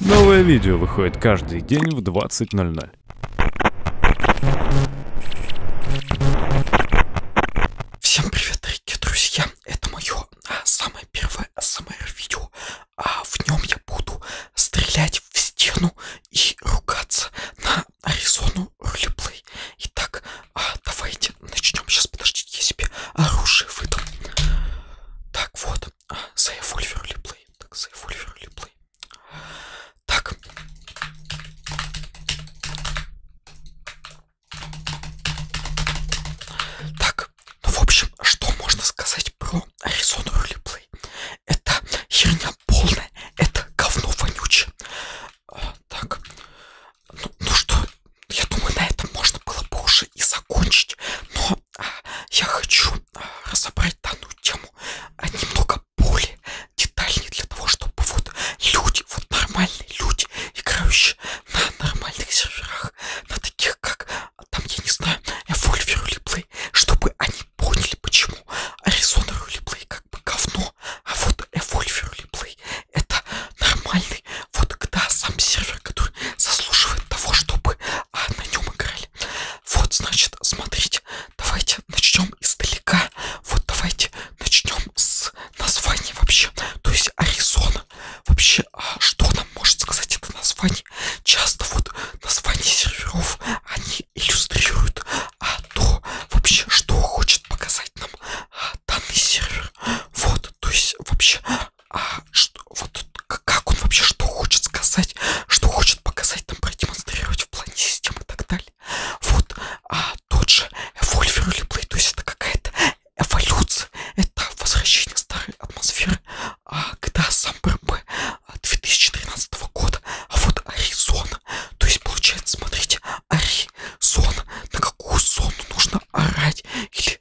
Новое видео выходит каждый день в 20.00. Всем привет, дорогие друзья! Это мое а, самое первое СМР-видео. А, в нем я буду стрелять в стену и ругаться на Аризону Ролеплей. Итак, а, давайте начнем. Сейчас, подождите, я себе оружие выдам. Так вот. Save all your replay. Так, save all your replay. Так. Так, ну в общем, что можно сказать про Arizona Roleplay? Это херня полная, это говно вонючее. А, так, ну, ну что, я думаю, на этом можно было бы уже и закончить, но я хочу а, разобрать данную тему немного более детальнее для того, чтобы вот люди, вот нормальные люди, играющие на нормальных серверах, на таких как, а, там, я не знаю, Evolver Replay, чтобы они поняли, почему Arizona Replay как бы говно, а вот Evolver Replay это нормальный вот когда сам сервер, который заслуживает того, чтобы а, на нем играли. Вот, значит, смотрите, давайте начнем издалека. Вот давайте начнем с названия вообще. То есть Аризона. Вообще, а что нам может сказать это название? Часто вот названия серверов, они иллюстрируют а то вообще, что хочет показать нам а, данный сервер. Вот, то есть вообще, а, что, вот как он вообще, что хочет сказать, что хочет показать, там продемонстрировать в плане системы и так далее. Вот а, тот же Evolver Replay, то есть это какая-то эволюция, это возвращение старой атмосферы, а, когда сам БРБ 2013 года, а вот Аризона, то есть получается, смотрите, Аризона, на какую зону нужно орать, или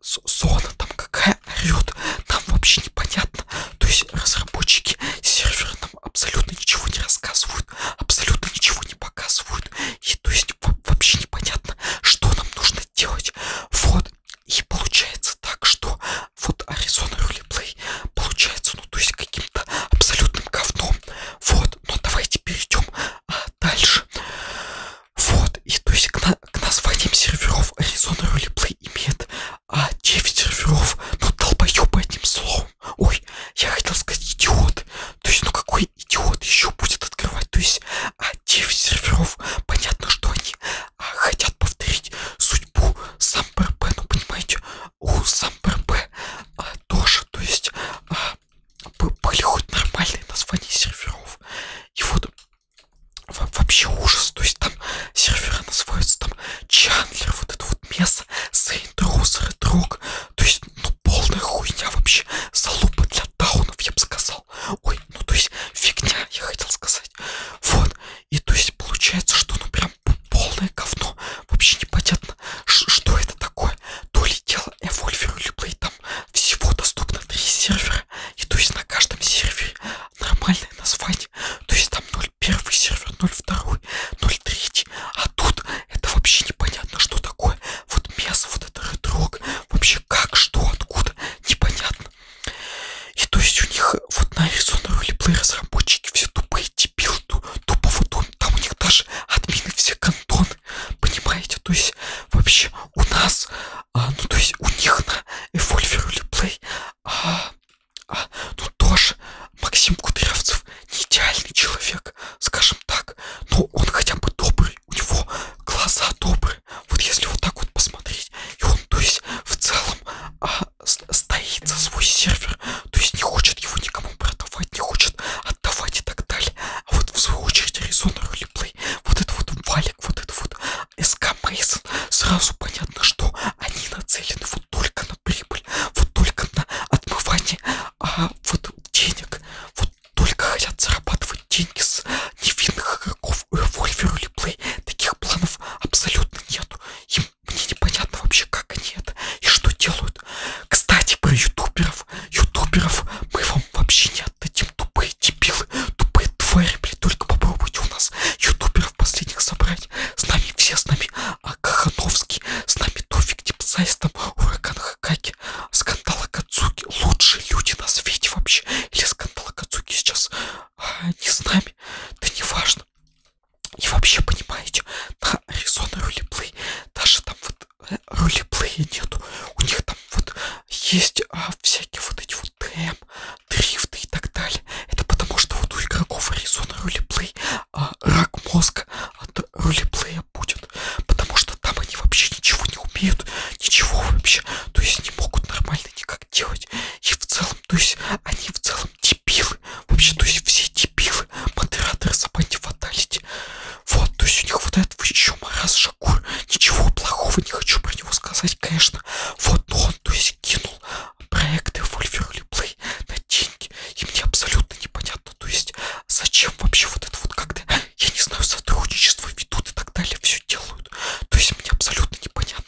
зона там какая орет, там вообще непонятно. То есть разработчики сервера нам абсолютно ничего не рассказывают, абсолютно ничего не показывают. И то есть вообще непонятно, что нам нужно делать. Вот. И получается так, что вот Arizona Roleplay получается, ну то есть каким-то абсолютным говном. Вот. Но давайте перейдем а, дальше. Вот, и то есть к, на, к названиям серверов Arizona Roleplay имеет а, 9 серверов, ну долбоёбы одним словом. Ой, я хотел сказать идиот. То есть, ну какой идиот еще будет открывать? То есть, а 9 серверов, понятно, что они а, хотят повторить судьбу сам ПРП, ну понимаете, у сам ПРП а, тоже, то есть... А, были хоть нормальные названия серверов. И вот вообще ужас. То есть там серверы называются там Чандлер, вот это вот место, Сейнтроуз, Редрог. То есть, ну, полная хуйня вообще. Залупа для даунов, я бы сказал. Ой, ну то есть фигня, я хотел сказать. Вот. И то есть получается, что ну прям полное говно. Вообще непонятно, что это такое. То ли дело Evolver или Play, там всего доступно три сервера. И то есть на каждом сервере нормальное название. То есть там 0.1 сервер, 0.2, 0.3. А тут это вообще непонятно, что такое. Вот мясо, вот это редрог. Вообще как, что, откуда, непонятно. И то есть у них вот на Arizona Roleplay разработчики все тупые дебилы ту, тупо вот он, там у них даже админы все кантоны, понимаете, то есть вообще у нас, а, ну то есть у них на Evolver Replay, а, а, ну тоже Максим Кудрявцев не идеальный человек, скажем так, но он хотя бы добрый, у него глаза добрые, вот если вот так вот посмотреть, и он то есть в целом а, стоит за свой сервер, то есть не хочет его никому продавать, не хочет отдавать и так далее. А вот в свою очередь Резонер Ролеплей, вот этот вот валик, вот этот вот СК Мейсон, сразу понятно, что они нацелены вот только на прибыль, вот только на отмывание а, вот денег, вот только хотят зарабатывать деньги с невинных игроков. Вольвер Ролеплей таких планов абсолютно нету. Им мне непонятно вообще, как они это и что делают. Кстати, про ютуберов. Ютуберов мы вам вообще не отдадим. Тупые дебилы, тупые твари, блин. Только попробуйте у нас ютуберов последних собрать. С нами все, с нами а Кахановский, с нами Тофик Дипсай, с там Ураган Хакаки, Скандал Акацуки. Лучшие люди на свете вообще. Или Скандал Акацуки сейчас а, не с нами. Да не важно. И вообще, понимаете, на Arizona рулеплей даже там вот э, рулеплея нету. У них там вот есть а, всякие вот эти вот ТМ, дрифты и так далее. Это потому что вот у игроков Arizona рулеплей а, рак мозга от рулеплея будет. Потому что там они вообще ничего не умеют, ничего вообще. То есть не могут нормально никак делать. И в целом, то есть они в целом дебилы. Вообще, то есть все дебилы, модераторы собаки фаталити. Вот, то есть у них вот этот еще Мараз Шакур. Ничего плохого не хочу про него сказать, конечно. Вот, но он, то есть, кинул проекты Wolverine Play на деньги. И мне абсолютно непонятно, то есть, зачем вообще вот это вот когда, я не знаю, сотрудничество ведут и так далее, все делают. То есть, мне абсолютно непонятно.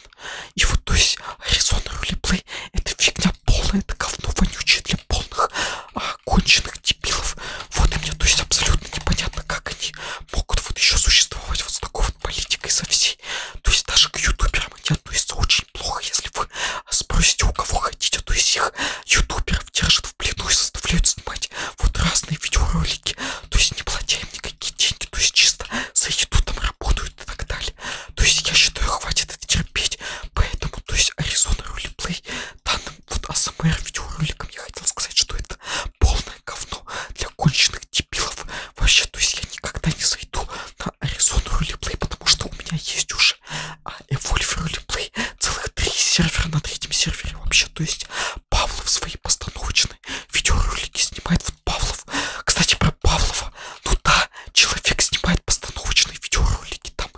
И вот, то есть, Arizona Roleplay это фигня полная, это говно вонючее для полных а, конченых дебилов. Вот и мне, то есть, абсолютно непонятно, как они могут вот еще существовать вот с такой вот политикой со всей. То есть, даже к ютуберам они относятся очень плохо, если вы спросите, у кого хотите, то есть их ютуберов держат в плену и заставляют снимать вот разные видеоролики, то есть не платя им никакие деньги, то есть чисто сойдут там работают и так далее. То есть я считаю, хватит это терпеть. Поэтому, то есть Arizona Roleplay данным вот АСМР видеороликом я хотел сказать, что это полное говно для конченных дебилов. Вообще, то есть я никогда не зайду на Arizona Roleplay, потому что у меня есть уже а Evolve Roleplay целых три сервера на третьем сервере вообще. То есть Павлов свои постановочные жены видеоролики снимает вот Павлов. Кстати, про Павлова. Ну да, человек снимает постановочные видеоролики там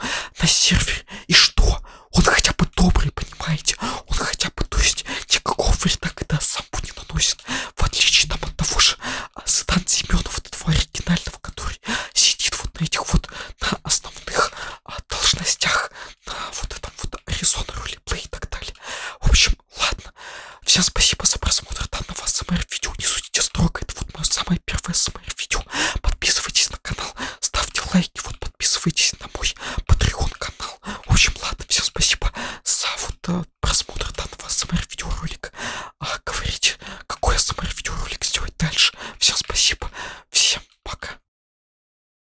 на сервере. И что? Он хотя бы добрый, понимаете? Он хотя бы, то есть, никакого вреда, когда сам не наносит. В отличие там от того же а, Седан Семенова, вот этого оригинального, который сидит вот на этих вот, на основных а, должностях, на вот этом вот это Аризона, ролеплей и так далее. В общем, ладно. Всем спасибо за просмотр данного СМР-видео. Не судите строго, это вот мое самое первое СМР-видео. Подписывайтесь на канал, ставьте лайки, вот подписывайтесь на мой Patreon-канал. В общем, ладно, всем спасибо за вот а, просмотр данного СМР-видеоролика. А, говорите, какой СМР-видеоролик сделать дальше. Всем спасибо, всем пока.